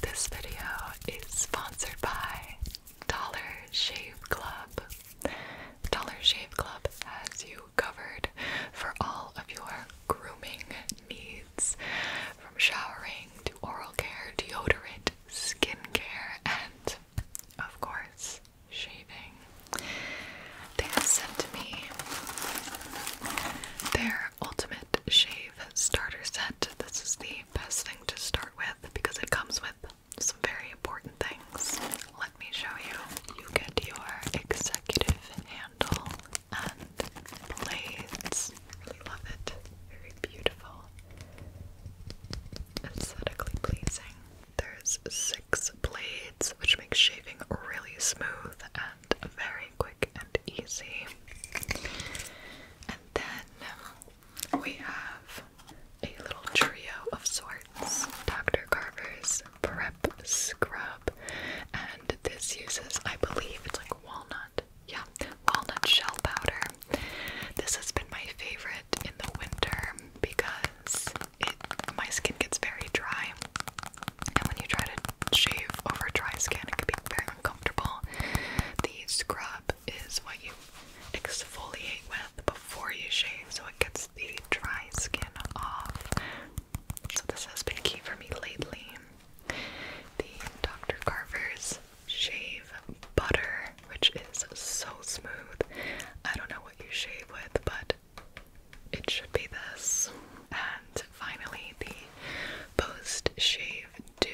This video is sponsored by Dollar Shave Club. Dollar Shave Club has you covered for all of your grooming needs from showering to oral care, deodorant, skincare, and of course, shaving. They have sent me their Ultimate Shave Starter Set. This is the best thing to start with because it comes with some very important things. Let me show you. You get your executive handle and blades. love it. Very beautiful. Aesthetically pleasing. There's six blades, which makes shaving really smooth and very quick and easy. And then we have a little trio of sorts Dr. Carver's Prep Scrub. And this uses, I believe, it's like walnut. Yeah, walnut shell powder. This has been my favorite in the winter because my skin gets very dry. And when you try to shave over dry skin. It can be very uncomfortable. The scrub is what you exfoliate with before you shave so it gets the dry skin off. So this has been key for me lately. The Dr. Carver's Shave Butter, which is so smooth. I don't know what you shave with, but it should be this. And finally, the post shave dew.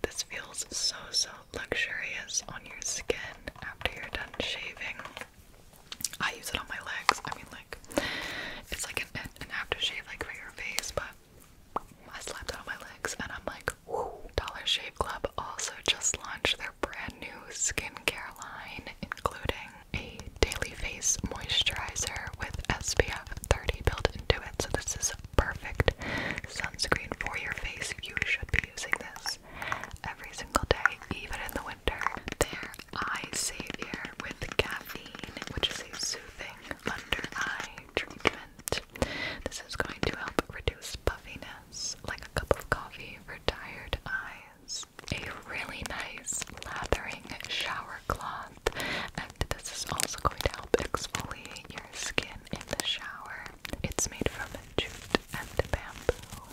This feels so, so luxurious on your skin after you're done shaving. I use it on my legs. I mean, like, it's like an, an aftershave, like for your face, but I slapped it on my legs and I'm like, woo. Dollar Shave Club also just launched their brand new skincare line, including a daily face moisturizer with SPF 30 built in into it. So this is a perfect sunscreen for your face. You should be using this every single day, even in the winter. Their eye savior with caffeine, which is a soothing under eye treatment. This is going to help reduce puffiness, like a cup of coffee for tired eyes. A really nice lathering shower cloth and this is also going to help exfoliate your skin in the shower. It's made from jute and bamboo.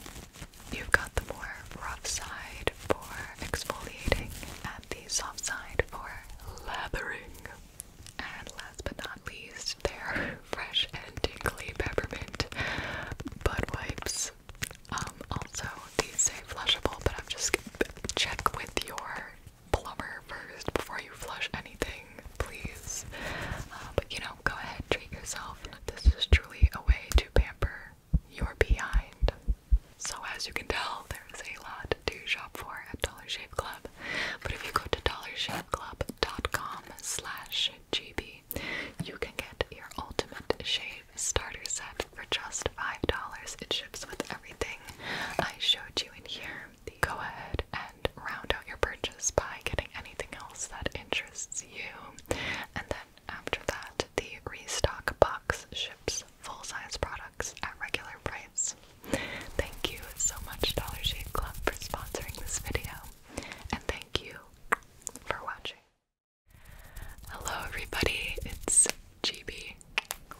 You've got the more rough side for exfoliating and the soft side for lathering. And last but not least, they're fresh and tingly peppermint butt wipes. Um, also, these say flushable, but I'm just check with your plumber first before you flush anything, please. Uh, but you know, go ahead, treat yourself. This is truly a way to pamper your behind. So, as you can tell, there's a lot to shop for at Dollar Shave Club. But if you go to dollarshaveclub.com gb, you can get your ultimate shave starter set for just $5. It ships with everything I showed you in here. Go ahead and round out your purchase by getting anything else that interests you. And then after that, the restock box ships full-size products at regular price. Thank you so much Dollar Shave Club for sponsoring this video. And thank you for watching. Hello everybody, it's GB,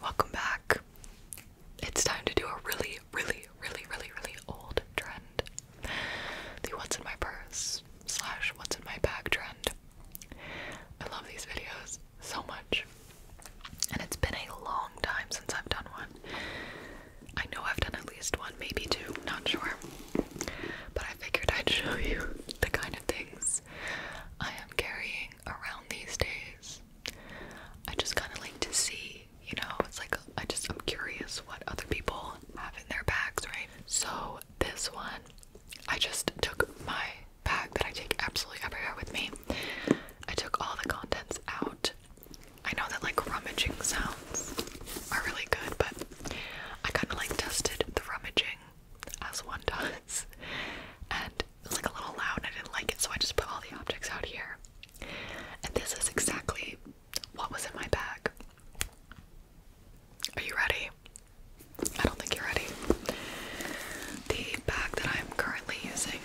welcome back. It's time to do a really, really, really, really, really old trend. The what's in my purse slash what's in my bag trend. I love these videos so much. And it's been a long time since I've done one. I know I've done at least one, maybe two, not sure. But I figured I'd show you the kind of things I am carrying around these days. I just kind of like to see, you know, it's like I just I'm curious what other people have in their bags, right? So this one, I just took my bag that I take absolutely everywhere with me. I took all the contents out. I know that like rummaging sounds are really good, but I kind of like tested the rummaging as one does. And it like a little loud I didn't like it, so I just put all the objects out here. And this is exactly what was in my bag. Are you ready? I don't think you're ready. The bag that I'm currently using,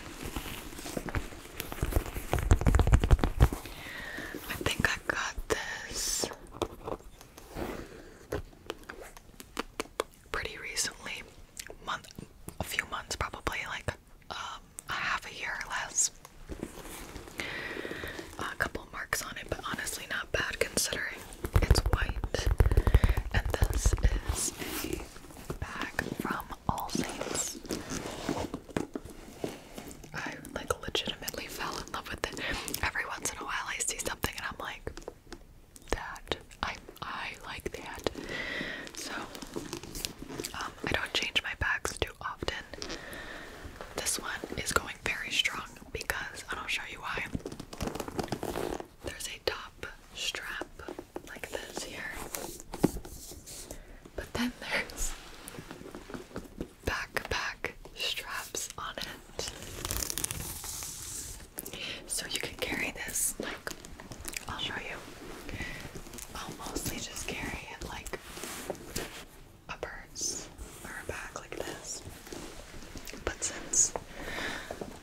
I think I got this pretty recently, month, a few months probably, like um, a half a year or less. A couple marks on it, but honestly not bad considering it's white. And this is a bag from All Saints. I like legitimately fell in love with it. Every once in a while I see something and I'm like, that. I I like that. So um, I don't change my bags too often. This one is going very strong because and I'll show you why. There's a top strap like this here. But then there's backpack straps on it. So you can carry this, like, I'll show you. I'll mostly just carry it like a purse or a bag like this. But since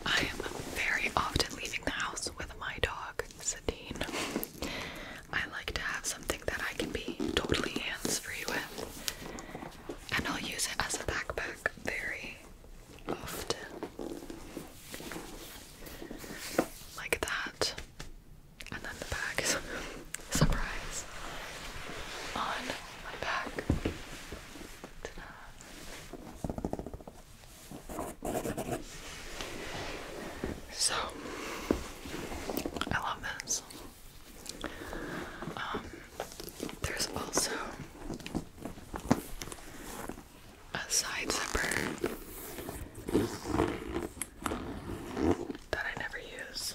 I am very often leaving the house with my dog, Satine, I like to have something that I can be totally hands free with. And I'll use it as a backpack very like that. And then the bag surprise on my back. So I love this. Um, there's also a side zipper that I never use,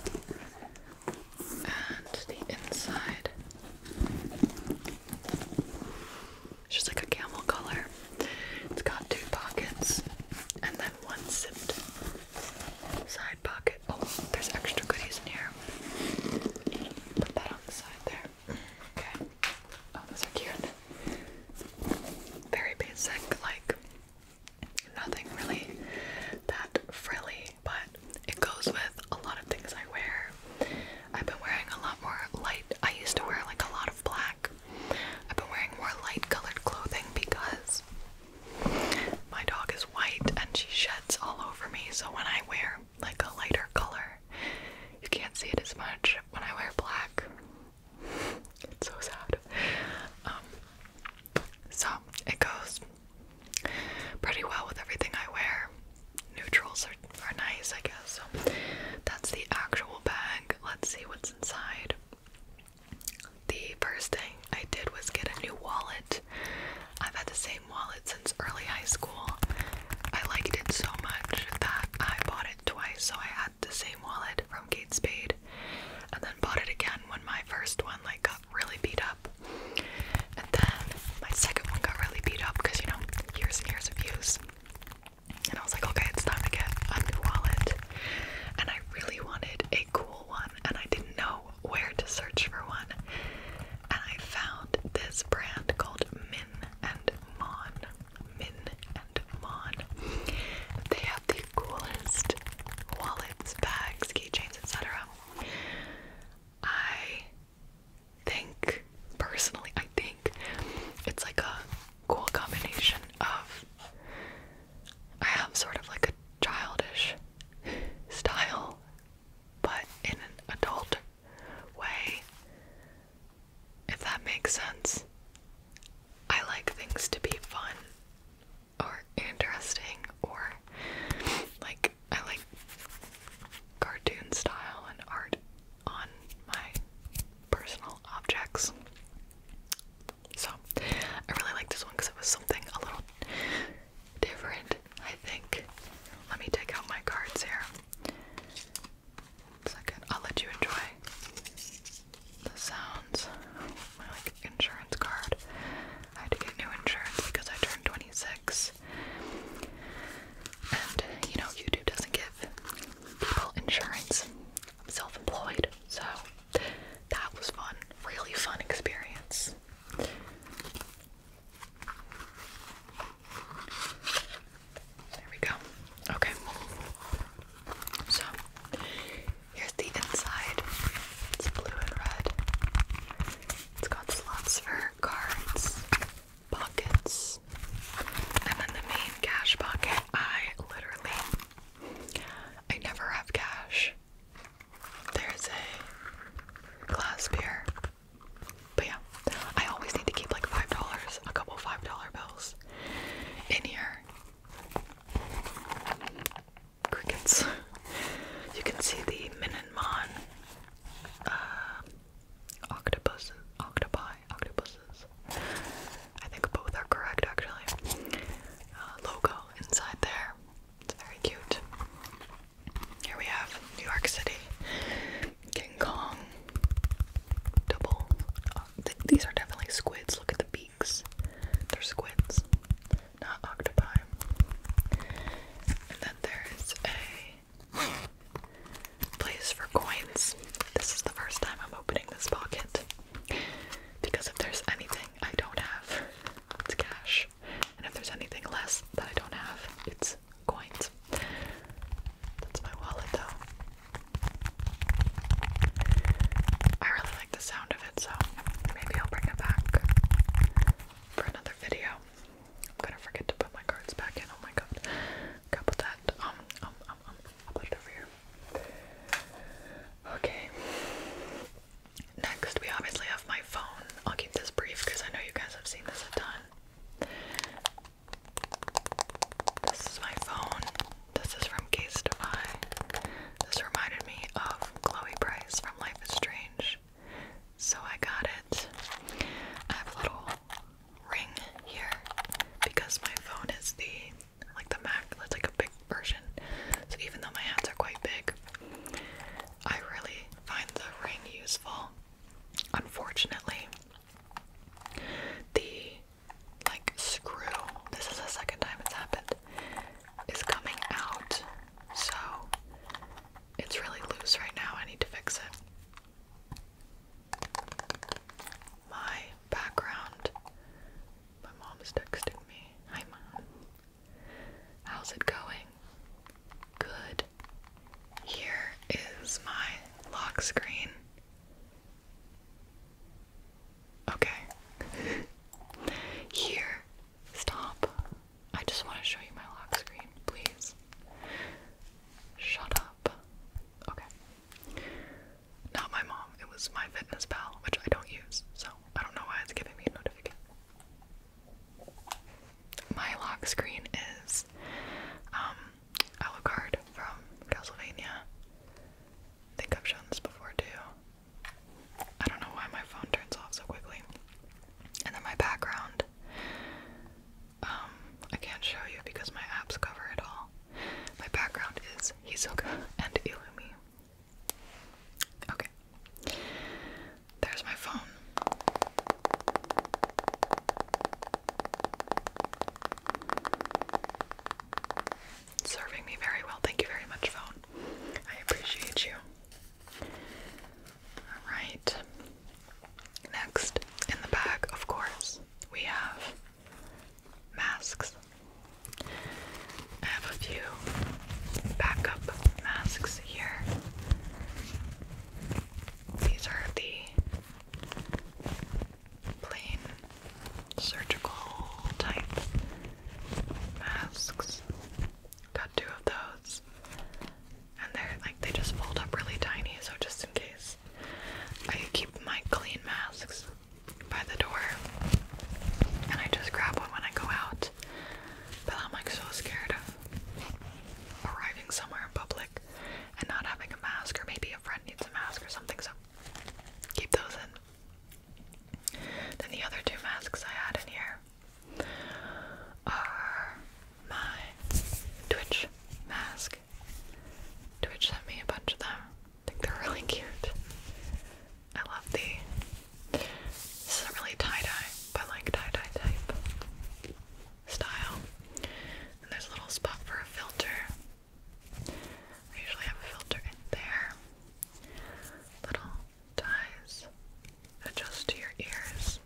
and the inside it's just like a camel color. It's got two pockets and then one zip side pocket. Oh, there's extra goodies in here. Put that on the side there. Okay. Oh, those are cute. Very basic, like nothing really that frilly, but it goes with a lot of things I wear. I've been wearing a lot more light. I used to wear like a lot of black. I've been wearing more light colored clothing because my dog is white and she sheds all over me, so when I wear like a lighter color, you can't see it as much when I wear black. it's so sad. Um, so it goes pretty well with everything I wear. Neutrals are, are nice, I guess. So that's the actual bag. Let's see what's inside. The first thing I did was get a new wallet. I've had the same wallet since early high school. I liked it so much that I bought it twice, so I had the same wallet from Kate Spade, and then bought it again when my first one like got really beat up, and then my second one got really beat up because you know years and years of use, and I was like, okay, it's time to get a new wallet, and I really wanted a cool one, and I didn't know where to search for one, and I found this brand called Min and Mon. Min and Mon. They have the coolest wallets, bags, keychains, etc. I think personally, I think it's like a cool combination of I have sort of like a childish style, but in an adult way. If that makes sense. I like things to be fun or interesting or like I like cartoon style and art on my personal objects. So I really like this one because it was something a little different, I think. Let me take out my cards here second. I'll let you enjoy the sounds. My like insurance card. I had to get new insurance because I turned 26. And you know, YouTube doesn't give people insurance. I'm self-employed, so that was fun. Really fun experience. There we go. Okay. So here's the inside. It's blue and red. It's got slots for cards, pockets, and then the main cash pocket. I literally I never have cash. There's a glass but yeah, I always need to keep like five dollars, a couple five dollar bills in here. Crickets. You can see the Min uh, Octopus, octopi, octopuses. I think both are correct actually. Uh, logo inside there. It's very cute. Here we have New York City. King Kong. Double. Uh, these are definitely squids. Look at the beaks. They're squids, not octopi. And then there is a place for coins. This is the first time I'm opening this pocket because if there's anything I don't have, it's cash. And if there's anything less that I don't have, it's coins. That's my wallet though. I really like the sound of it, so maybe I'll bring it back for another video. I'm gonna forget to put my cards back in. Oh my god. Okay, that. Um, um, um, um. i put it here. Okay. Next, we obviously have my phone. I'll keep this brief because I know you guys have seen this a ton. This is my phone. This is from Case Defy. This reminded me of Chloe Price from Life is Strange. So I got it. I have a little ring here because my phone is the like the Mac that's like a big version. So even though my hands are quite big, I really find the ring useful. Unfortunately, the like screw, this is the second time it's happened, is coming out. So it's really loose right now. I need to fix it. My background. My mom's texting me. Hi, mom. How's it going? Good. Here is my lock screen. Okay. Here. Stop. I just want to show you my lock screen, please. Shut up. Okay. Not my mom. It was my fitness pal, which I don't use, so I don't know why it's giving me a notification. My lock screen is um, Alucard from Castlevania. I think I've shown this before too. I don't know why my phone turns off so quickly. And then my background. Um, I can't show you because my apps cover it all. My background is Hisoka and Illumi. Okay. There's my phone. Serving me very well. Thank you very much, phone. I appreciate you. Alright. Next, in the bag, of course, we have masks. I have a few backup masks here. These are the plain surgical type masks. Got two of those. And they're like they just fold up really tiny, so just in case. I keep my clean masks by the door. And I just grab one when I go out. But I'm like so scared of arriving somewhere in public and not having a mask, or maybe a friend needs a mask or something, so keep those in. Then the other two masks I had in here are my Twitch mask. Twitch sent me a bunch of them. I think they're really cute. I love the. This isn't really tie dye, but like tie dye type style. And there's a little spot for a filter. I usually have a filter in there. Little ties adjust to your ears.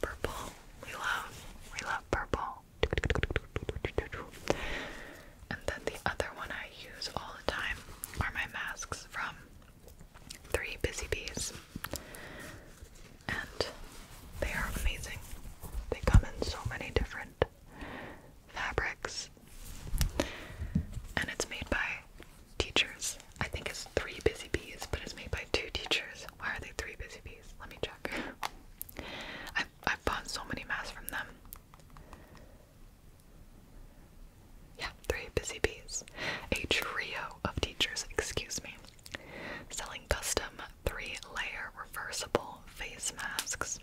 Purple, we love, we love purple. And then the other one I use all the time are my masks from Three Busy Bees and they are amazing. They come in so many different fabrics, and it's made by teachers. I think it's three busy bees, but it's made by two teachers. Why are they three busy bees? Let me check. I've, I've bought so many masks from them. Yeah, three busy bees. A trio of teachers, excuse me selling custom three-layer reversible face masks.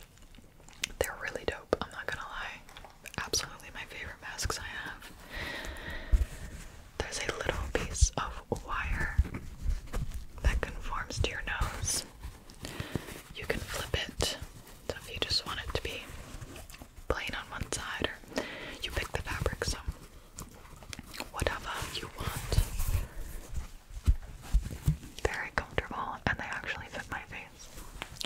They're really dope, I'm not gonna lie. Absolutely my favorite masks I have. There's a little piece of wire that conforms to your nose. You can flip it. So if you just want it to be plain on one side or you pick the fabric, so whatever you want. Very comfortable, and they actually fit my face.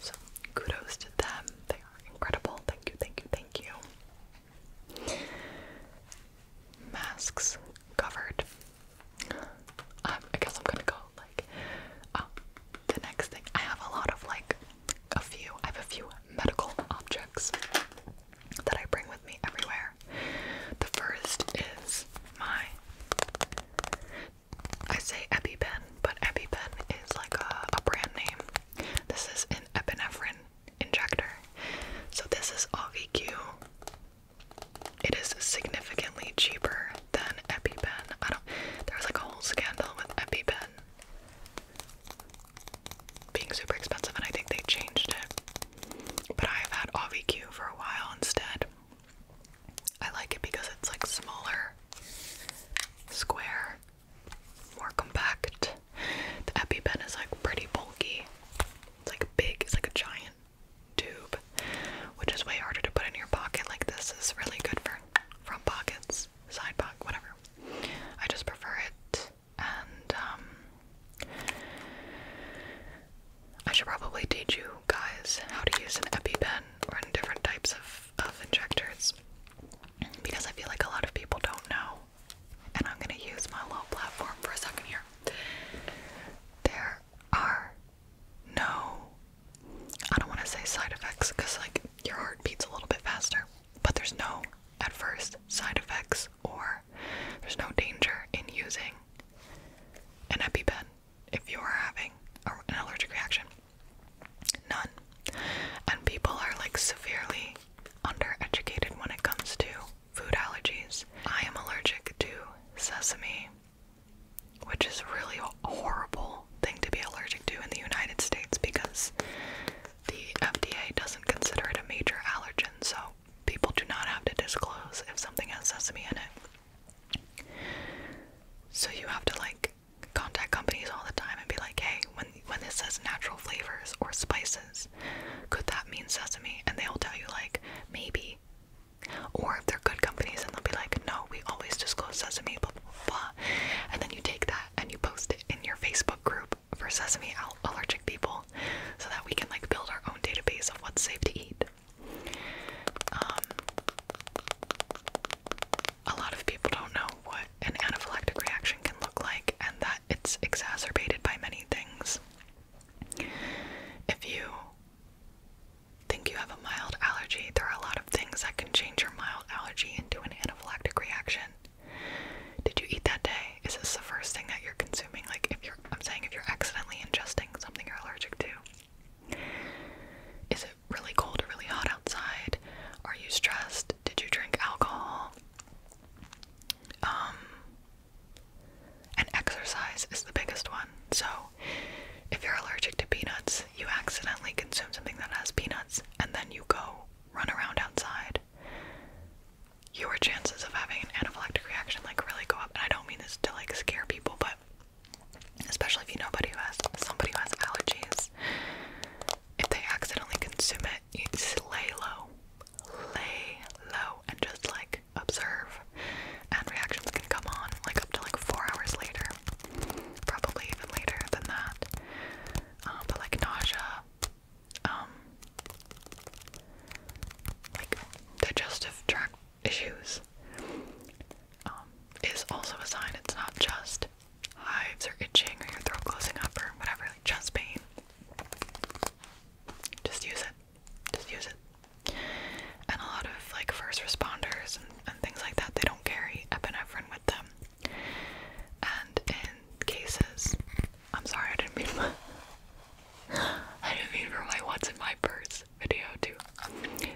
So, kudos to them. They are incredible. Thank you, thank you, thank you. Masks covered. Um, I guess I'm gonna go like. Um, the next thing I have a lot of like a few. I have a few medical objects that I bring with me everywhere. The first is my I say EpiPen, but EpiPen is like a, brand name. This is an epinephrine injector. So this is OVQ. It is significantly cheaper than EpiPen. I don't there was like a whole scandal with EpiPen being super expensive and I think they changed it but I've had AviQ for a while instead. I like it because it's like smaller, square, more compact. The EpiPen is like pretty bulky. It's like big, it's like a giant tube, which is way harder to put in your pocket. Like this is really good for front pockets, side pocket, whatever. I just prefer it and um, I should probably teach you guys how to use an EpiPen or different types of, of injectors because I feel like a lot of people don't know. And I'm gonna use my low platform for a second here. There are no, I don't want to say side effects because like your heart beats a little bit faster, but there's no at first side effects, or there's no danger in using an EpiPen if you are having an allergic reaction. None. And people are like severely undereducated when it comes to food allergies. I am allergic to sesame, which is really a horrible thing to be allergic to in the United States because the FDA doesn't consider it a major allergen, so people do not have to disclose if something has sesame in it. So you have to like contact companies all the time and be like, hey, when when this says natural flavors or spices, could that mean sesame? And they'll tell you like maybe. Or if they're good companies and they'll be like, no, we always disclose sesame, blah blah blah. And then you take that and you post it in your Facebook group for sesame allergic people so that we can like build our own database of what's safe to eat. Um, a lot of people don't know what an anaphylactic reaction can look like and that it's exacerbated by many things. If you think you have a mild allergy, there are a lot of things that can change your mild allergy into an anaphylactic reaction. Did you eat that day? is this the first thing that you're consuming? Like, if you're, I'm saying if you're accidentally ingesting something you're allergic to, is it really cold or really hot outside? Are you stressed? Did you drink alcohol? Um, and exercise is the biggest one. So, if you're allergic to peanuts, you accidentally consume something that has peanuts, and then you go run around outside your chances of having an anaphylactic reaction like really go up. And I don't mean this to like scare people, but especially if you know somebody who has somebody who has allergies, if they accidentally consume it, you just lay low, lay low, and just like observe. And reactions can come on like up to like four hours later, probably even later than that. Um, but like nausea, um, like digestive tract issues um, is also a sign. It's not just hives or itching or your throat closing up or whatever, like chest pain. Just use it. Just use it. And a lot of like first responders and, and things like that, they don't carry epinephrine with them. And in cases I'm sorry, I didn't mean for, my what's in my purse video to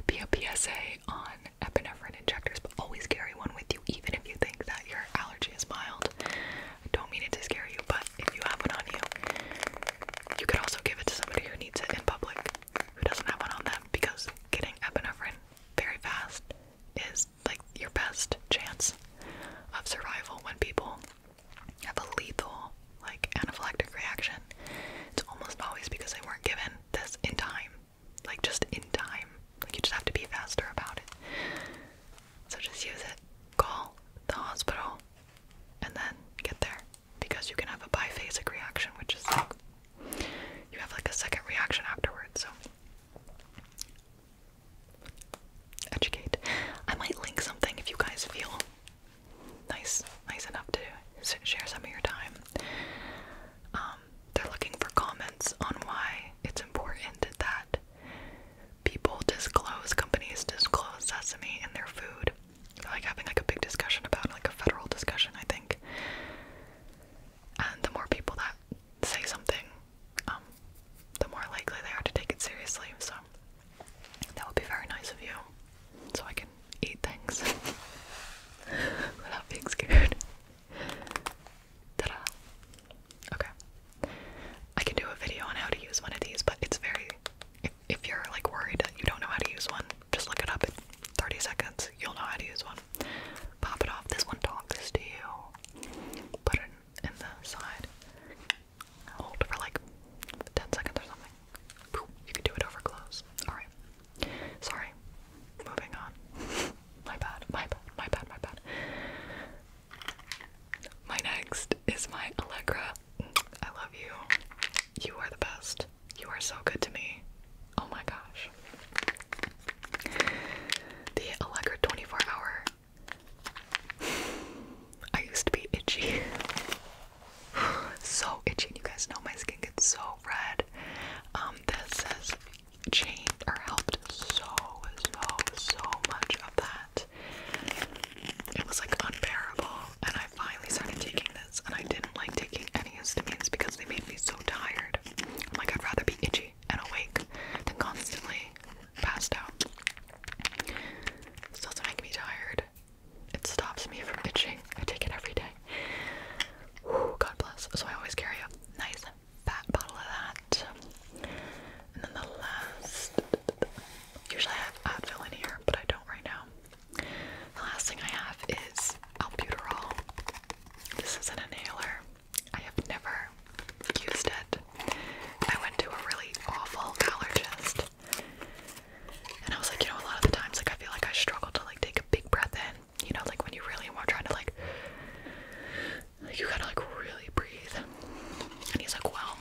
be a PSA on epinephrine injectors, but always carry one with you, even if you think that your allergy is mild. I don't mean it to scare you, but if you have one on you, you could also give it to somebody who needs it in public, who doesn't have one on them, because getting epinephrine very fast is like your best chance of survival when people have a lethal like anaphylactic reaction, it's almost always because they weren't given this in time. Like just in time. Like you just have to be faster about it. So just use it. Call the hospital and then get there. Because you can have a biphasic reaction, which is you have like a second reaction afterwards, so educate. I might link something if you guys feel nice, nice enough to share some of your time. Um, they're looking for comments on why it's important that people disclose, companies disclose sesame in their food. like having like a big discussion about like a federal discussion, I think. And the more people that say something, um, the more likely they are to take it seriously. So that would be very nice of you, so I can eat things without being scared. Ta da! Okay. I can do a video on how to use one of these, but it's very. If, you're like worried that you don't know how to use one, just look it up 30 seconds. You'll know how to use one. Pop it off. This one talks to you. Put it in the side hold for like 10 seconds or something. you can do it over close. Alright. Sorry. Moving on. my bad, my bad, my bad, my bad. My next is my Allegra. I love you. You are the best. You are so good to me. Oh my gosh. The Allegra 24 hour I used to be itchy. so itchy. You guys know my skin gets so red. Um, this has changed or helped so, so, so much of that. It was like unbearable. And I finally started taking this. And I didn't like taking any histamines because they made me so tired. i like, I'd rather be itchy and awake than constantly passed out. This doesn't make me tired. It stops me from itching. I take it every day. Whew, God bless. So I always carry a nice fat bottle of that. And then the last, usually I have Advil in here, but I don't right now. The last thing I have is albuterol. This is an inhaler. I have never used it. I went to a really awful allergist and I was like, you know, a lot of the times, like, I feel like I struggle to, like, take a big breath in. You know, like, when you really want trying to, like, like you gotta, like, really breathe. And he's like, well,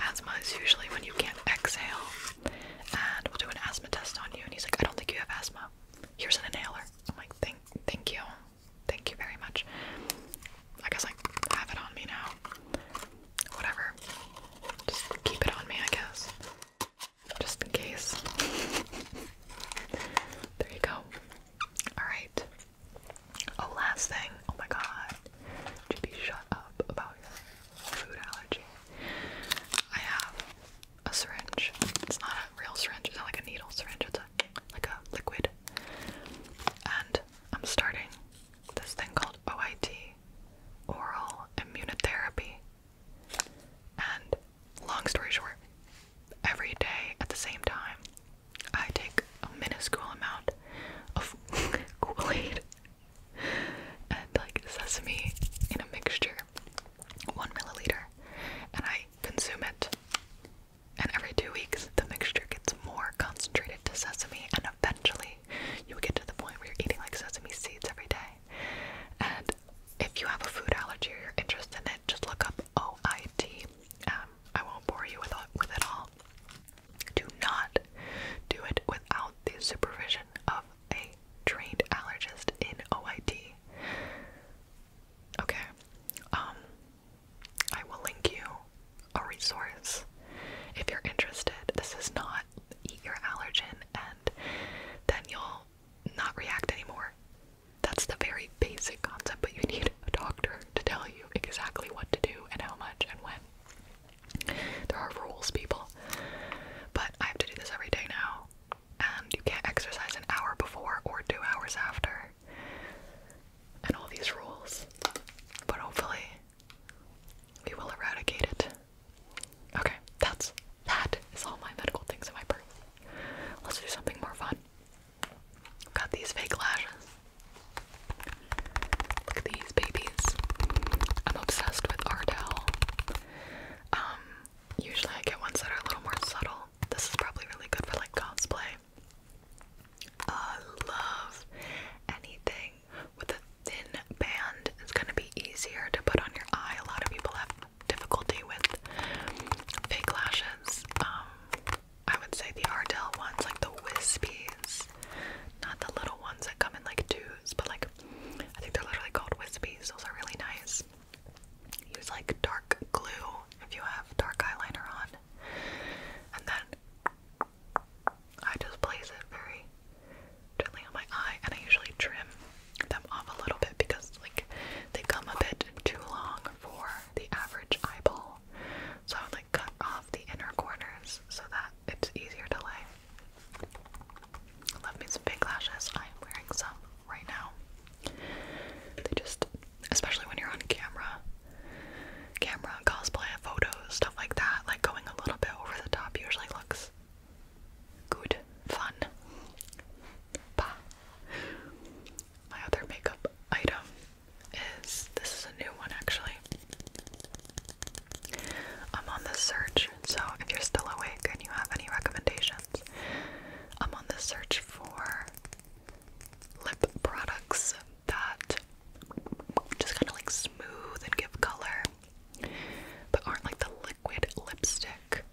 asthma is usually when you can't exhale. And we'll do an asthma test on you. And he's like, I don't think you have asthma. Here's an inhaler. I'm like, thank, thank you. Thank you very much. I guess I have it on me now. Whatever. Just keep it on me, I guess. Just in case. there you go. Alright. Oh, last thing. Oh my god. Jippy, shut up about food allergy. I have a syringe. It's not a real syringe, it's not like a needle syringe, it's a, like a liquid. And I'm starting this thing called OIT, oral immunotherapy. And long story short, every day at the same time, I take a minuscule amount of Kool Aid and like sesame in a mixture, one milliliter, and I consume it. And every two weeks, the mixture gets more concentrated to sesame and eventually you would get to the point where you're eating like sesame seeds every day. And if you have a food allergy or you're interested in it, just look up OIT. Um, won't bore you with, with it all. Do not do it without the supervision of a trained allergist in OIT. Okay. Um, I will link you a resource if you're interested. This is not eat your allergen and then you'll not react anymore. That's the very basic concept, but you need a doctor to tell you exactly what to do and how much and when. There are rules, people. But I have to do this every day now, and you can't exercise an hour before or two hours after. And all these rules. But hopefully, we will eradicate it. Okay, that's that is all my medical things in my purse. Let's do something more fun. I've got these fake lashes. Look at these babies. I'm obsessed with Ardell. Um, usually I get ones that are a little more subtle. This is probably really good for like cosplay. I love anything with a thin band. It's gonna be easier to put on your eye. A lot of people have difficulty with fake lashes. Um, I would say the Ardell ones, like the wispies, not the little ones that come in like twos, but like I think they're literally called wispies. Those are really nice. Use like dark glue if you have dark eyeliner on, and then I just place it very gently on my eye, and I usually trim them off a little bit because, like, they come a bit too long for the average eyeball. So I would like cut off the inner corners so that it's easier to lay. Love me some big lashes. I am wearing some right now. They just, especially when you're on camera, camera, cosplay, photos, stuff like that. Like going a little bit over the top usually looks good, fun. Bah. My other makeup item is this is a new one actually. I'm on the search, so if you're still awake and you have any recommendations, I'm on the search for lip products that just kind of like smooth and give color, but aren't like the liquid lipstick.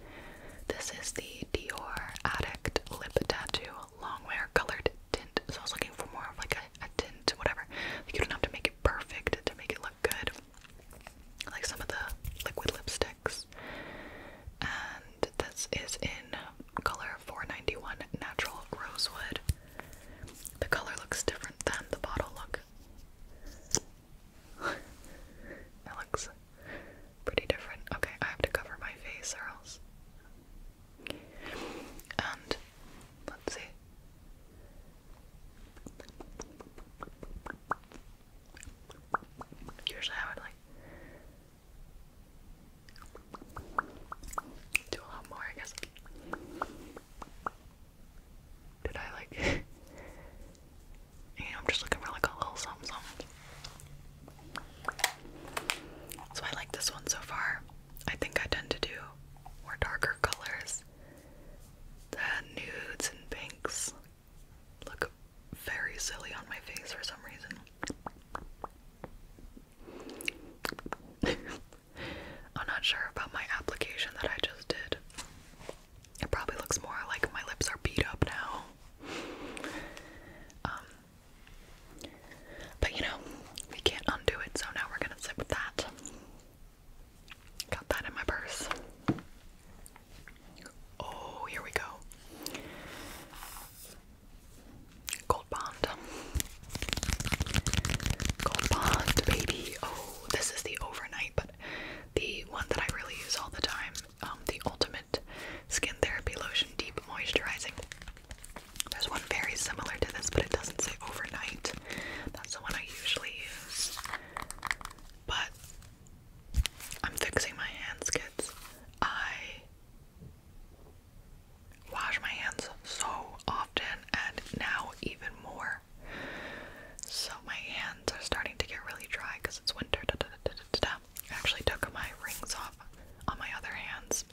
This is the Dior Addict Lip Tattoo Longwear Colored Tint. So I was looking for more of like a, a tint, whatever. Like you don't have to make it perfect to make it look good. Like some of the liquid lipsticks. And this is in color 491 Natural Rosewood. The color looks different than the bottle look. it looks pretty different. Okay, I have to cover my face or else. And let's see. Usually I would like do a lot more, I guess. Did I like? you know, I'm just looking for like a little something, So I like this one so far. I think I tend to do more darker colors. The nudes and pinks look very silly on my face for some reason. I'm not sure about my application that I just did. It probably looks more like my lips are beat up now. Um, but you know, we can't undo it, so now we're gonna sit with that. Got that in my purse. Oh, here we go. Gold Bond. Gold Bond, baby. Oh, this is the overnight, but the one that I really use all the time. Um, the Ultimate Skin Therapy Lotion Deep Moisturizing. There's one very similar to this, but it doesn't say overnight. That's the one I usually use. But I'm fixing my hands, kids. I wash my hands so often and now even more. So my hands are starting to get really dry because it's winter. I actually took my rings off on my other hands.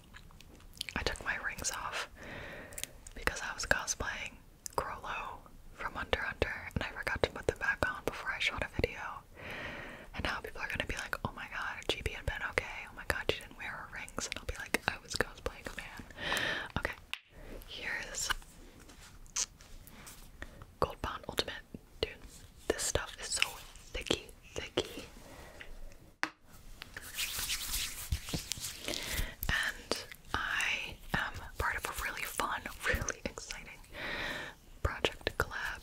I took my rings off because I was cosplaying Grollo from Under Under, and I forgot to put them back on before I shot a video. And now people are gonna be like, oh my god, GB had been okay, oh my god, she didn't wear her rings. And I'll be like, I was going." cosplay command. Okay, here's Gold Bond Ultimate. Dude, this stuff is so thicky, thicky. And I am part of a really fun, really exciting project collab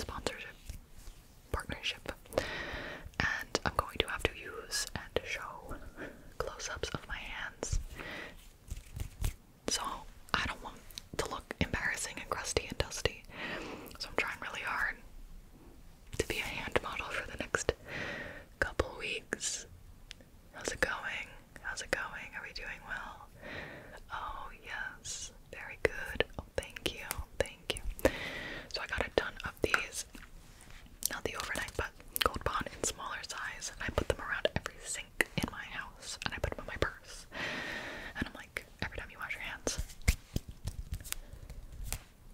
sponsorship partnership. And I'm going to have to use and show close ups of my hands. So I don't want to look embarrassing and crusty and dusty. So I'm trying really hard to be a hand model for the next couple weeks. How's it going? How's it going? Are we doing well? Oh, yes. Very good. Oh, thank you. Thank you. So I got it done these, not the overnight, but Gold Bond in smaller size, and I put them around every sink in my house, and I put them in my purse, and I'm like, every time you wash your hands,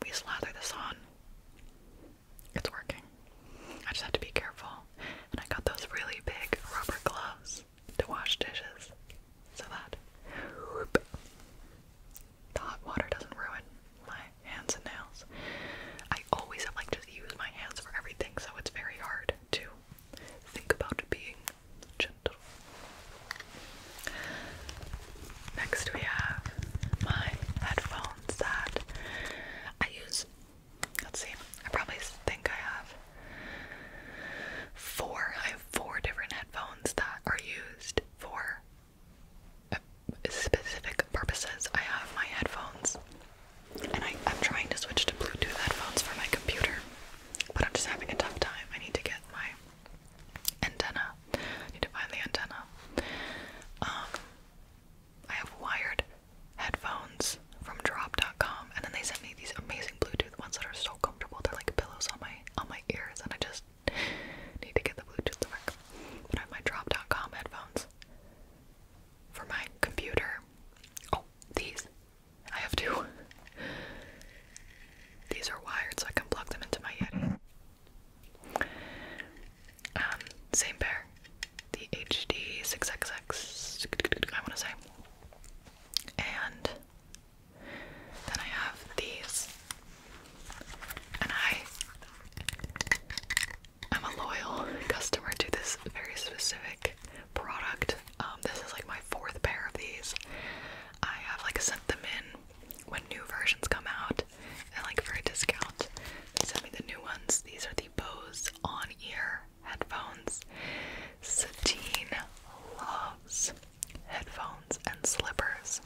we slather this on. It's working. I just have to be careful, and I got those really big rubber gloves to wash dishes, so that the hot water doesn't ruin my hands and nails. I always have like just use my hands for everything, so it's very hard to think about being gentle. Next, we have my headphones that I use. Let's see, I probably think I have four. I have four different headphones that are used for specific purposes. I have my headphones, and I, am trying to switch to Bluetooth headphones for my computer, but I'm just having a tough time. I need to get my antenna. I need to find the antenna. Um, I have wired headphones from Drop.com, and then they sent me these amazing Bluetooth ones that are so comfortable. They're like pillows on my on my ears, and I just Need to get the Bluetooth to I have my drop.com headphones for my computer. Oh, these. I have two. These are wired so I can plug them into my Yeti. Um, same pair. The HD 6XX, I want to say. And then I have these and I I'm a loyal customer to this very specific product. Um, this is like my fourth pair of these. I have like sent them in when new versions come out and like for a discount. They sent me the new ones. These are the Bose on ear headphones. Satine loves headphones and slippers.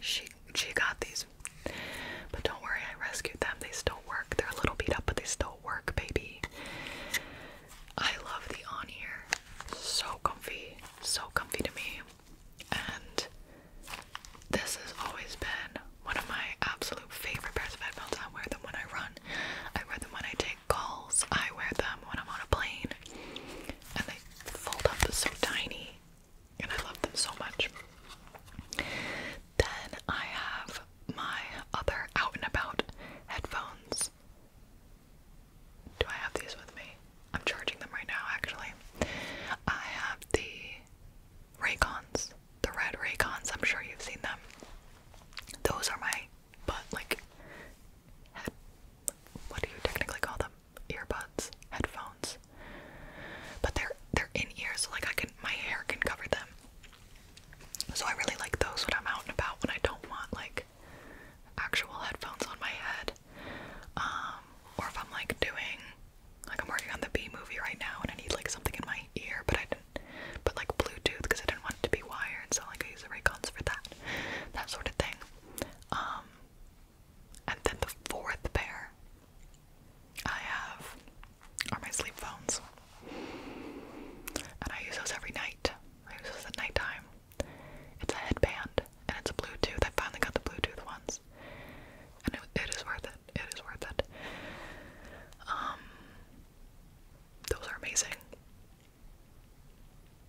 She she got these. But don't worry, I rescued them. They still work. They're a little beat up, but they still work, baby. I love the on ear. So comfy. So comfy to me. And this has always been one of my absolute favorite pairs of headphones. I wear them when I run. I wear them when I take calls. I wear them when I'm on a plane. And they fold up so tiny and I love them so much. Then I have my other out and about headphones. Do I have these with me? I'm charging them right now actually. I have the Raycons, the red Raycons, I'm sure you've seen them. Those are my but like what do you technically call them? earbuds, headphones, but they're they're in ear, so like I can my hair can cover them. So I really like those when I'm out and about when I don't want like actual headphones on my head, um, or if I'm like doing like I'm working on the B movie right now and I need like something in my ear, but I didn't put like Bluetooth because I didn't want it to be wired, so like I use the Raycons for that, that sort of thing. Um, and then the fourth pair I have are my sleep phones. And I use those every night. I use those at nighttime. It's a headband and it's a Bluetooth. I finally got the Bluetooth ones. And it is worth it. It is worth it. Um, those are amazing.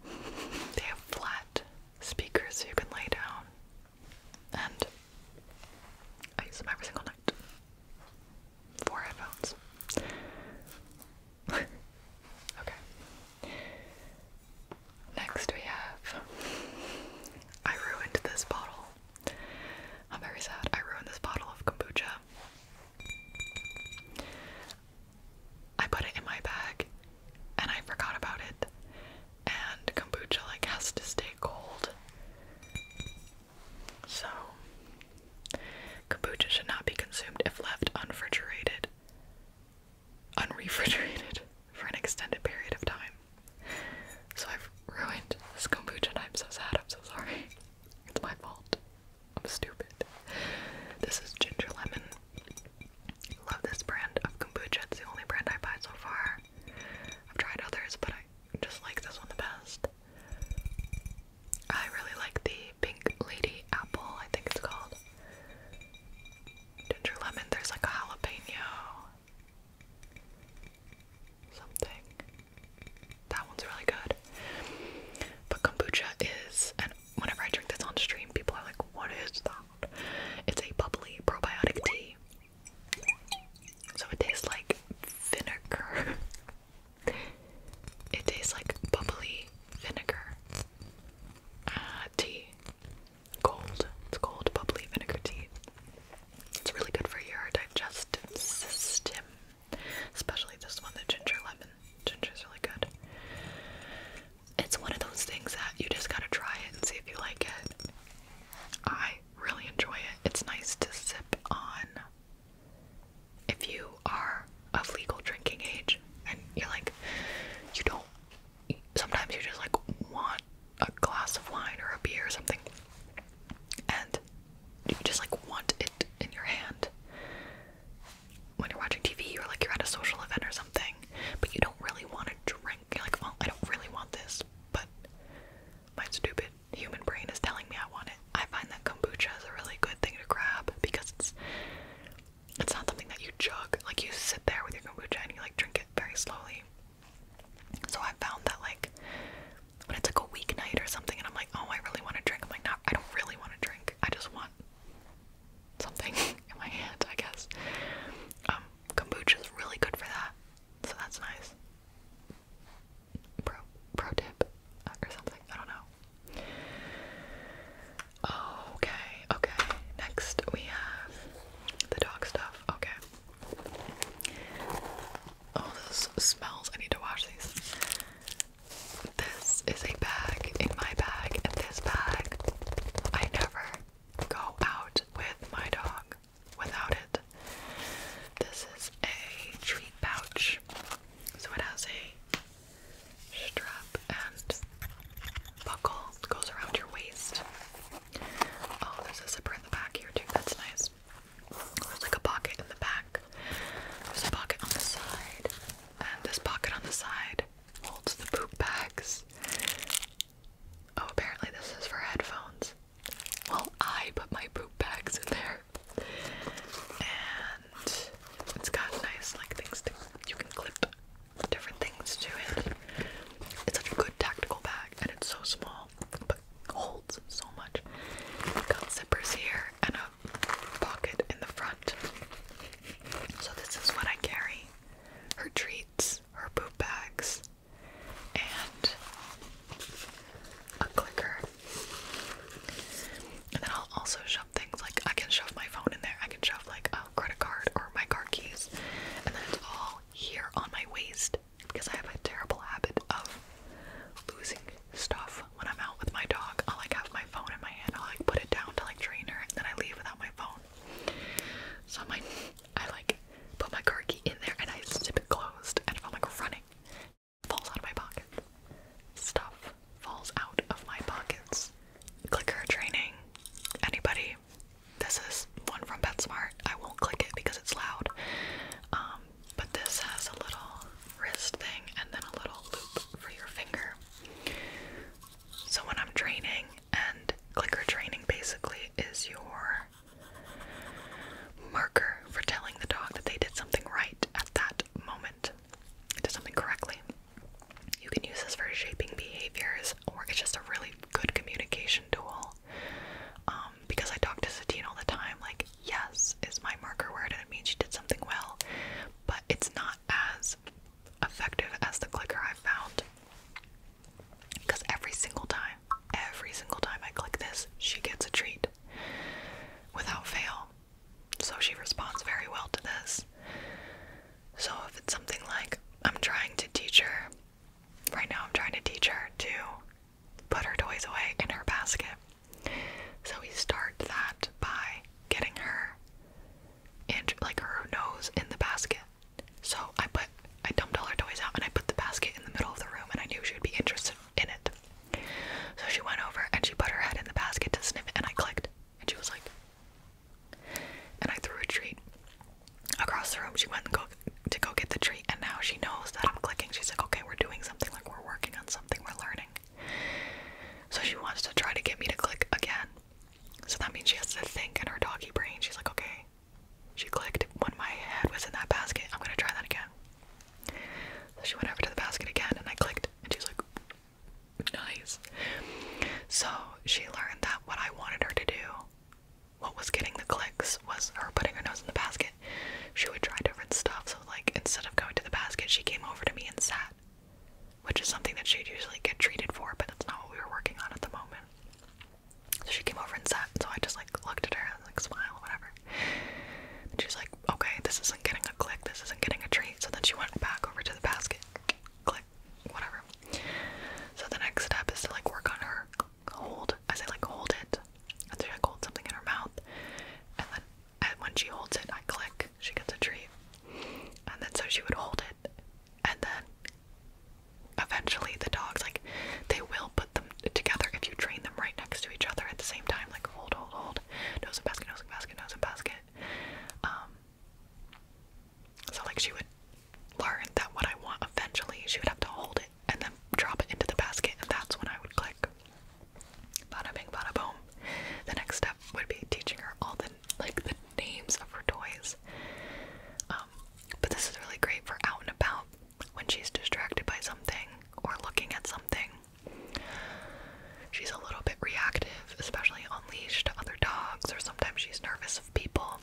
They have flat speakers so you can lay down and I use them every single night. Four headphones. okay. Next we have I ruined this bottle. I'm very sad. I ruined this bottle of kombucha. I put it in my bag and I forgot about it. And kombucha like has to stay cold. So kombucha should not be consumed if left unrefrigerated unrefrigerated for an extended period of time. So I've ruined this kombucha and I'm so sad, I'm so sorry. It's my fault. I'm stupid. This is ginger lemon. Love this brand of kombucha. It's the only brand I buy so far. I've tried others, but I just like this one the best. I really like the Pink Lady Apple, I think it's called. Ginger lemon, there's like a jalapeno. Something. That one's really good. But kombucha is, and whenever I drink this on stream, people are like, what is that? It's a bubbly probiotic tea so it tastes like vinegar. it tastes like bubbly vinegar. Uh, tea. Cold. It's cold, bubbly vinegar tea. It's really good for your digestive system. Especially this one, the ginger lemon. Ginger is really good it's one of those things that you just gotta try it and see if you like it. I really enjoy it. It's nice to sip on if you are of legal drinking age and you're like, you don't. Sometimes you just like want a glass of wine or a beer or something, and you just like want it in your hand. When you're watching TV or like you're at a social event or something, but you don't really want to drink you're like, well, I don't really want this, but my stupid human brain is telling me I want it. I find that kombucha is a really good thing to grab because it's it's not something that you chug. Like you sit there with your kombucha and you like drink it very slowly. So I found that like when it's like a weeknight or something and I'm like, oh I really want to drink. I'm like, no, I don't really want to drink. I just want something in my hand, I guess. Um, kombucha is really good for that, so that's nice. Pro pro tip uh, or something. I don't know. Okay, okay. Next we have the dog stuff. Okay. Oh, this smells. I need to wash these. This is a bag in my bag, and this bag I never go out with my dog without it. This is a treat pouch. So it has a strap and buckle that goes around your waist. Oh, there's a zipper in the back here too. That's nice. There's like a pocket in the back. There's a pocket on the side. And this pocket on the side holds the poop bags. Oh, apparently this is for headphones. Well, I put my poop bags in there. And it's got nice like things to you can clip different things to it. It's such a good tactical bag and it's so small but holds so much. It's got zippers here and a pocket in the front. So this is what I carry. Her treats, her poop bags, and a clicker. And then I'll also shove things like I can shove my phone in there. I can shove like a credit card or my car keys. And then it's all here on my waist because I have a terrible habit of losing stuff when I'm out with my dog. I'll like have my phone in my hand. I'll like put it down to like train her and then I leave without my phone. So my I like put my car key in there and I zip it closed and I'm like running. Falls out of my pocket. Stuff falls out of my pockets. Clicker training. Anybody? This is one from PetSmart. I won't click it because it's loud. Um, but this has a little wrist thing and then a little loop for your finger. So when I'm training, and clicker training basically is your marker for telling the dog that they did something right at that moment, did something correctly. You can use this for shaping behaviors, or it's just a really good communication tool. Um, because I talk to Satine all the time, like, yes is my marker word, and it means she did something well, but it's not as effective as the clicker I've found. Because every single time, every single time I click this, she gets a treat without fail. So she responds very well to this. So if it's something like, I'm trying to teach her, right now I'm trying to teach her to put her toys away in her basket. So we start that by getting her and like her nose in the basket so I put I dumped all her toys out and I put the basket in the middle of the room and I knew she would be interested in it. So she went over and she put her head in the basket to sniff it and I clicked and she was like and I threw a treat across the room. She went to go get the treat and now she knows that I'm clicking. She's like, okay, we're doing something, like we're working on something, we're learning. So she wants to try to get me to click again. So that means she has to think in her doggy brain. She's like, okay, she clicked when my head was in that basket. I'm gonna try that again. So she went over to the basket again and I clicked and she's like, nice. So she learned that what I wanted her to do, what was getting the clicks, was her putting her nose in the basket. She would try different stuff. So, like, instead of going to the basket, she came over to me and sat, which is something that she'd usually get treated for, but that's not what we were working on at the moment. So she came over and sat, so I just like looked at her and like smile, whatever. she's like, okay, this isn't getting a click, this isn't getting a treat. So then she went back over to the basket, click, whatever. So the next step is to like work on her hold. I say like hold it, and so she like something in her mouth, and then when she holds it, I click, she gets a treat, and then so she would hold it, and then eventually the dogs like they will put them together if you train them right next to each other at the same time like hold hold hold nose and basket nose and basket nose and basket um so like she would learn that what I want eventually she would have to hold it and then drop it into the basket and that's when I would click bada bing bada boom the next step would be teaching her all the like the names of her toys um but this is really great for out and about when she's distracted by something or looking at something. She's a little bit reactive, especially on leash to other dogs, or sometimes she's nervous of people.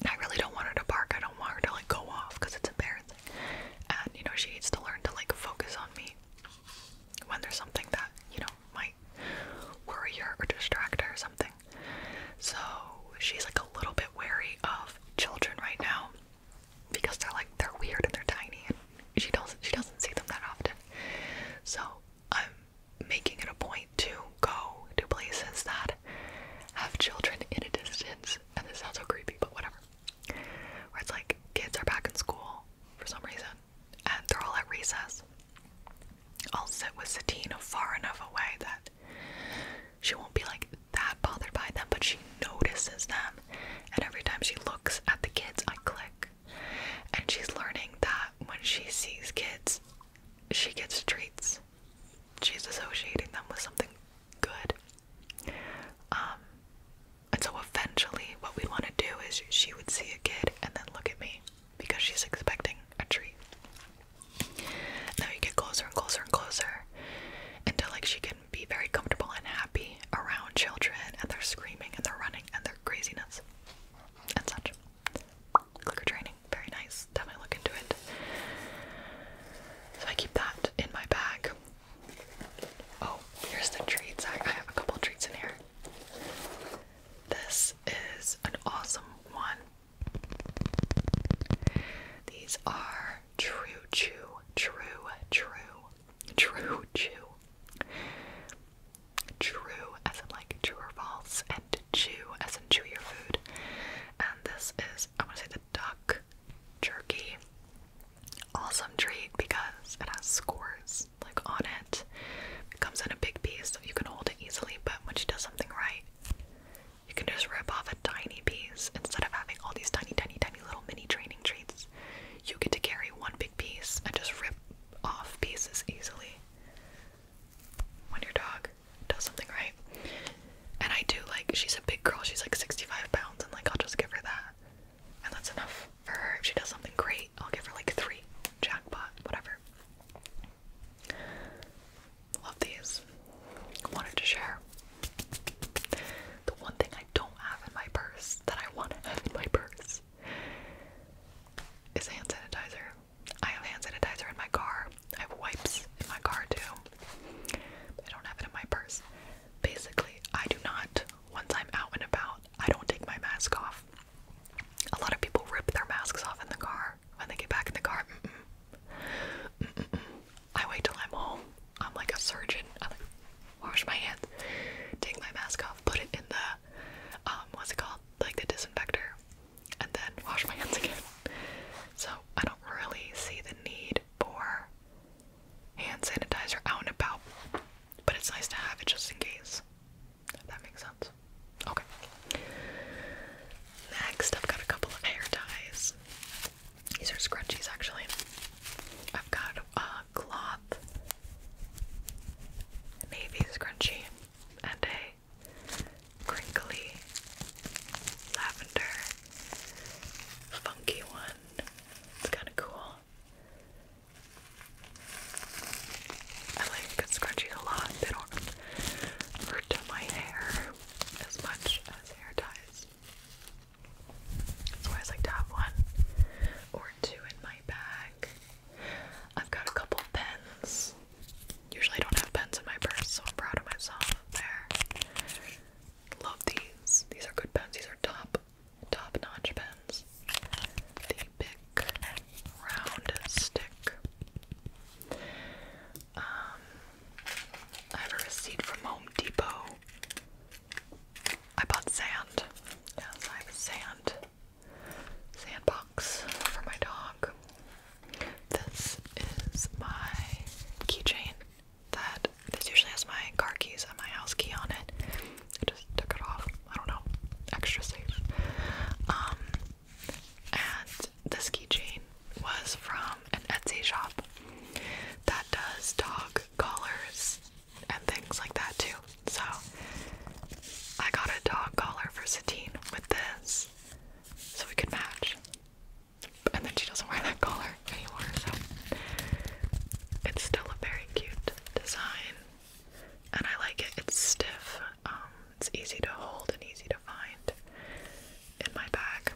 And I really don't want her to bark. I don't want her to like go off because it's embarrassing. And you know, she needs to learn to like focus on me when there's something that, you know, might worry her or distract her or something. So she's like a little bit wary of children right now because they're like they're weird and they're tiny and she doesn't she doesn't see them that often. So I'm making it a point to go to places that have children in a distance and this sounds so creepy but whatever. Where it's like kids are back in school for some reason and they're all at recess. I'll sit with Satine far enough away that she won't be like that bothered by them, but she notices them. And every time she looks at the kids, I click. And she's learning that when she sees kids, she gets treats. She's associating them with something good. Um, and so eventually, what we want to do is she would see a kid and then look at me because she's expecting a treat. Now you get closer and closer and closer until like she can be very comfortable and happy around children and they're screaming and they're running and they're their craziness and such. Clicker training, very nice. Definitely look into it. I keep that in my bag. Oh, here's the treats. I, I have a couple treats in here. This is an awesome one. These are True Chew, True True, True Chew. True as in like true or false, and chew as in chew your food. And this is, I want to say the duck jerky. Awesome treat because it has scores like on it. It comes in a big piece so you can hold it easily, but when she does something right, you can just rip off a tiny piece instead of having all these tiny, tiny, tiny little mini training treats. You get to carry one big piece and just rip off pieces easily when your dog does something right. And I do like, she's a big girl, she's like 65 pounds, and like I'll just give her that. And that's enough for her. If she does something great, I'll give her like three jackpot, whatever. Love these. Wanted to share. The one thing I don't have in my purse that I want to have in my purse is hand sanitizer. I have hand sanitizer in my car. I have wipes in my car too. I don't have it in my purse. Basically, I do not, once I'm out and about, I don't take my mask off. A lot of people rip their masks off in the car. When they get back in the car, I wait till I'm home. I'm like a surgeon. I like wash my hands, take my mask off, put it in the um, what's it called? Like the disinfector, and then wash my hands again. So I don't really see the need for hand sanitizer out and about, but it's nice to have it just in case. that makes sense. Okay. Next, I've got a couple of hair ties. These are scrunchies, actually. I've got a cloth navy scrunchie and a crinkly lavender funky one. It's kind of cool. I like scrunchies a lot to my hair as much as hair ties. So I always like to have one or two in my bag. I've got a couple pens. Usually I don't have pens in my purse, so I'm proud of myself there. Love these. These are good pens. These are top, top-notch pens. The big round stick. Um, I have a receipt from Home Depot. I bought sand. Yes, I have sand sandbox for my dog. This is my keychain that this usually has my car keys and my house key on it. I just took it off. I don't know. Extra safe. Um and the ski chain was from an Etsy shop that does dog collars and things like that too. So I got a dog collar for Satine with this so we could match. And then she doesn't wear that collar anymore, so it's still a very cute design. And I like it. It's stiff. Um, it's easy to hold and easy to find in my bag.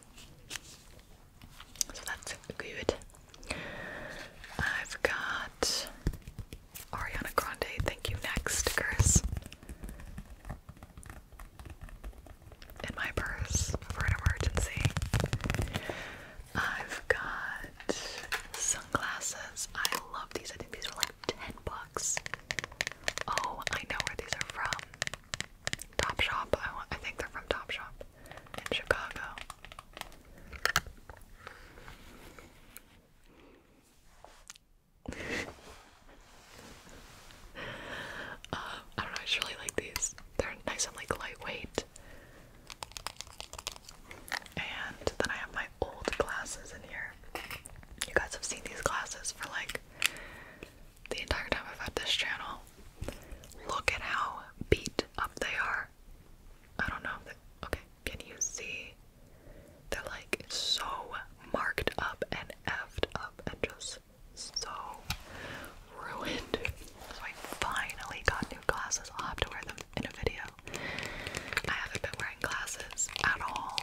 So that's good. I've got Ariana Grande, thank you next stickers in my purse for an emergency. I've got sunglasses. I love these. I think these are like 10 bucks. Oh, I know where these are from. Topshop. I want, I think they're from Topshop in Chicago. Uh, I don't know. I just really like these. They're nice and like lightweight. And then I have my old glasses in here. You guys have seen these glasses for like the entire time I've had this channel. Look at how beat up they are. I don't know okay, can you see? They're like so marked up and effed up and just so ruined. So I finally got new glasses. I'll have to wear them in a video. I haven't been wearing glasses at all.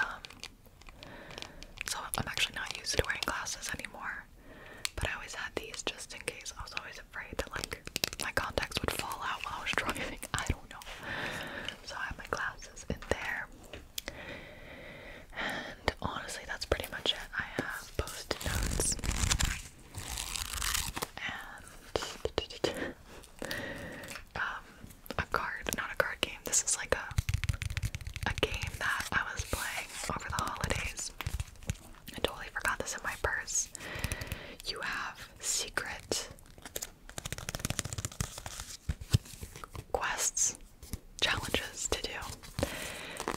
Um, so I'm actually not used to wearing glasses anymore. But I always had these just in case. I was always afraid that like my contacts would fall out while I was driving. I don't know. So I have my glasses in there. And honestly, that's pretty much it. I have post notes and um, a card, not a card game. This is like a a game that I was playing over the holidays. I totally forgot this in my purse. You have secret quests, challenges to do.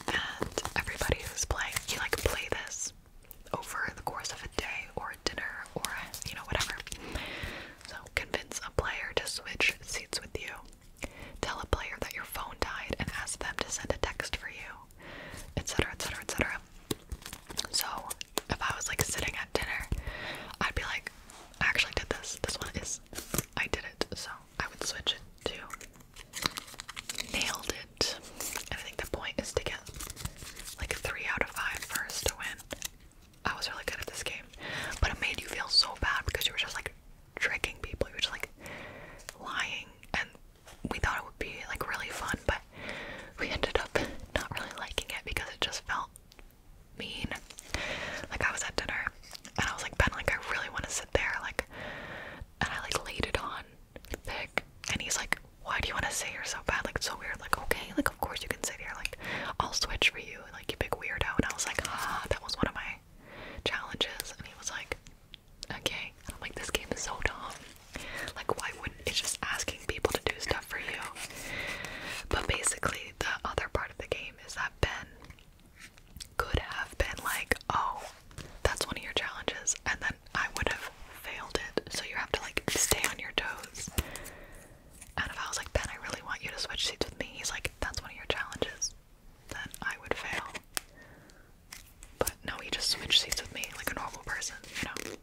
And everybody who's playing, you like play this over the course of a day or a dinner or, you know, whatever. So, convince a player to switch seats with you. Tell a player that your phone died and ask them to send a text for you, etc., etc., etc. So, if I was like sitting at dinner, I'd be like, I actually did this. This one is, I did it. So, I would switch it to nailed it. And I think the point is to get like three out of five first to win. I was really good at this game. But it made you feel so bad because you were just like tricking people. You were just like lying. And we thought it would be like really fun, but we ended up not really liking it because it just felt mean. Like I was at dinner and I was like, Ben, like I really want to sit there, like and I like laid it on the and he's like, Why do you want to sit here so bad? Like it's so weird, like okay, like of course you can sit here, like I'll switch for you, like you big weirdo and I was like ah that was one of my challenges and he was like okay I'm like this game is so dumb like why wouldn't it's just asking people to do stuff for you but basically the other part of the game is that Ben could have been like oh that's one of your challenges and then I would have failed it so you have to like stay on your toes and if I was like, Ben, I really want you to switch seats with me, he's like, that's one of your challenges. Then I would fail. But no, he just switched seats with me like a normal person, you know?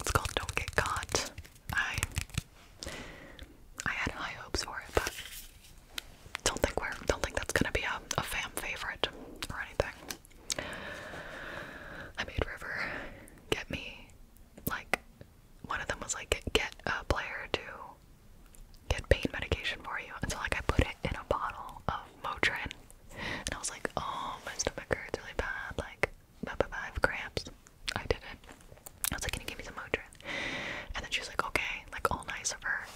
It's called Don't Get Caught. I I had high hopes for it, but don't think we're don't think that's gonna be a, a fam favorite or anything. I made River get me like one of them was like get a player to get pain medication for you and so like I put it in a bottle of Motrin and I was like oh my stomach hurts really bad like blah, blah, blah, I have cramps I did it. I was like can you give me some Motrin and then she was like okay like all nice of her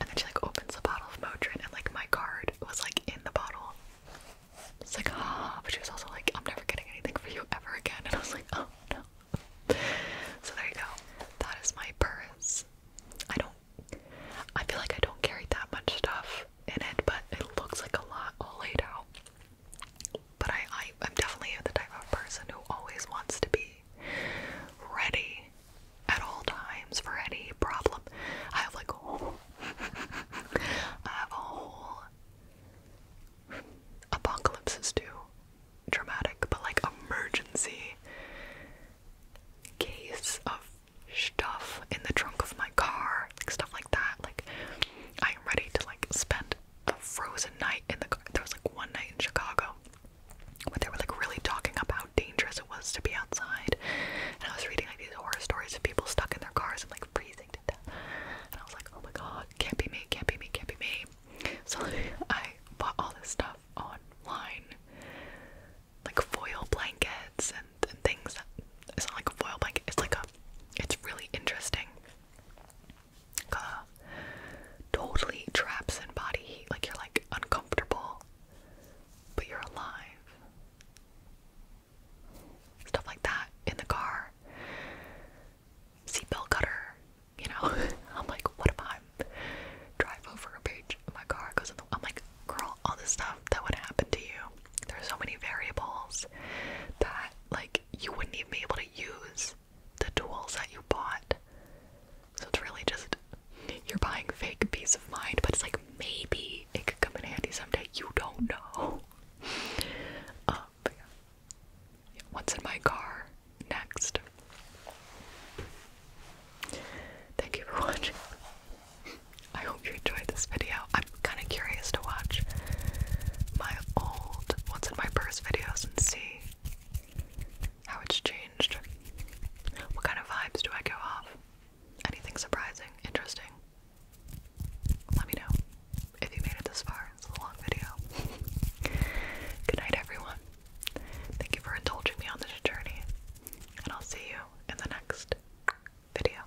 and then she like opens the bottle of Motrin and like my card was like in the bottle it's like ah but she was also like I'm never getting anything for you ever again and I was like oh no. So there you go. That is my purse. I don't I feel like I don't carry that much stuff in it, but it looks like a lot all laid out. But I, I am definitely the type of person who always wants to be ready at all times for any problem. I have like a have a whole Apocalypses too dramatic, but like emergency case of stuff in the trunk of my car, like stuff like that. Like I am ready to like spend a frozen night in the car. There was like one night in Chicago where they were like really talking about how dangerous it was to be outside. And I was reading like these horror stories of people stuck in their cars in like freezing and I was like, oh my god, can't be me, can't be me, can't be me. So I bought all this stuff online, like foil blankets and, and things. It's not like a foil blanket. It's like a. It's really interesting. Uh, totally traps in body heat. Like you're like uncomfortable, but you're alive. Stuff like that in the car seatbelt cutter, you know? I'm like, what if I drive over a page and my car goes in the I'm like, girl, all this stuff that would happen to you. There's so many variables that like you wouldn't even be able to use the tools that you bought. So it's really just you're buying fake peace of mind, but it's like maybe it could come in handy someday. You don't know. Um, but yeah. What's in my car next? Thank you for watching. I hope you enjoyed this video. I'm kind of curious to watch my old What's in My Purse videos and see how it's changed. What kind of vibes do I go off? Anything surprising, interesting? let me know if you made it this far. It's a long video. Good night, everyone. Thank you for indulging me on this journey, and I'll see you in the next video.